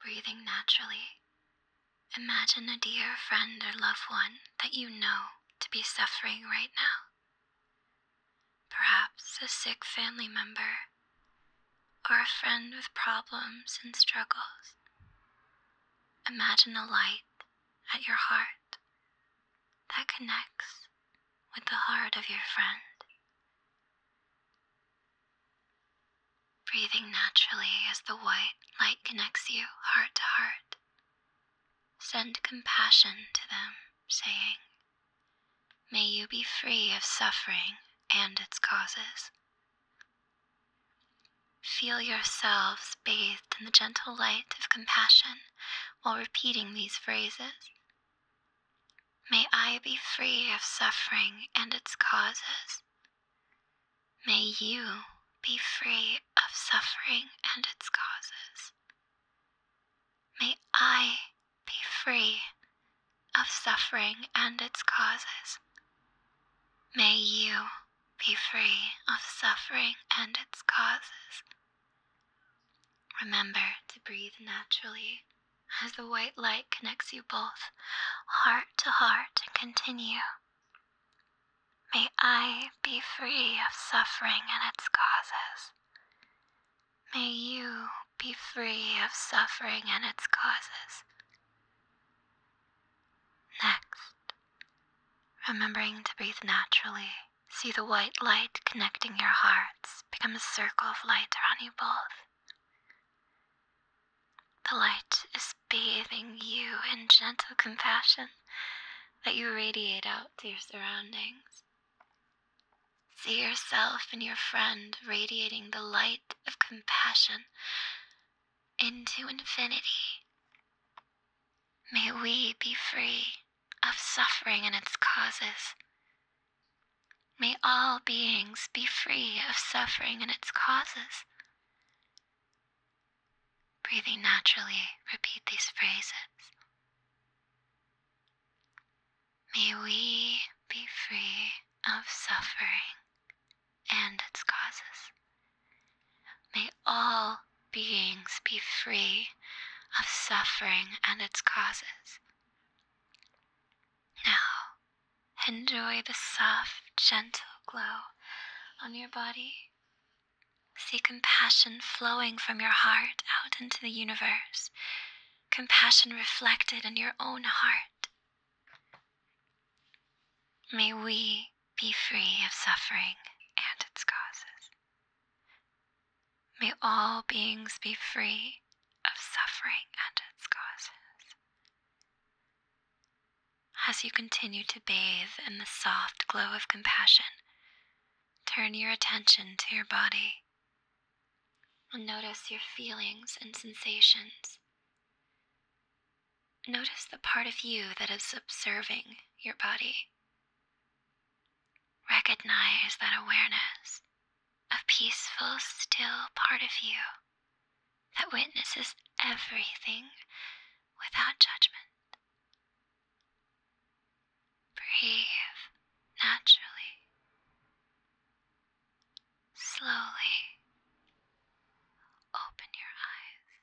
Breathing naturally, imagine a dear friend or loved one that you know to be suffering right now. Perhaps a sick family member or a friend with problems and struggles. Imagine a light at your heart that connects with the heart of your friend. Breathing naturally as the white light connects you heart to heart. Send compassion to them, saying, May you be free of suffering and its causes. Feel yourselves bathed in the gentle light of compassion while repeating these phrases. May I be free of suffering and its causes. May you be free of suffering and its causes. May I be free of suffering and its causes. May you be free of suffering and its causes. Remember to breathe naturally as the white light connects you both heart to heart and continue. May I be free of suffering and its causes. May you be free of suffering and its causes. Next, remembering to breathe naturally, see the white light connecting your hearts become a circle of light around you both. The light is bathing you in gentle compassion that you radiate out to your surroundings. See yourself and your friend radiating the light of compassion into infinity. May we be free of suffering and its causes. May all beings be free of suffering and its causes. Breathing naturally, repeat these phrases. May we be free of suffering and its causes. May all beings be free of suffering and its causes. Now, enjoy the soft, gentle glow on your body See compassion flowing from your heart out into the universe, compassion reflected in your own heart. May we be free of suffering and its causes. May all beings be free of suffering and its causes. As you continue to bathe in the soft glow of compassion, turn your attention to your body and notice your feelings and sensations. Notice the part of you that is observing your body. Recognize that awareness, a peaceful, still part of you that witnesses everything without judgment. Breathe naturally, slowly open your eyes.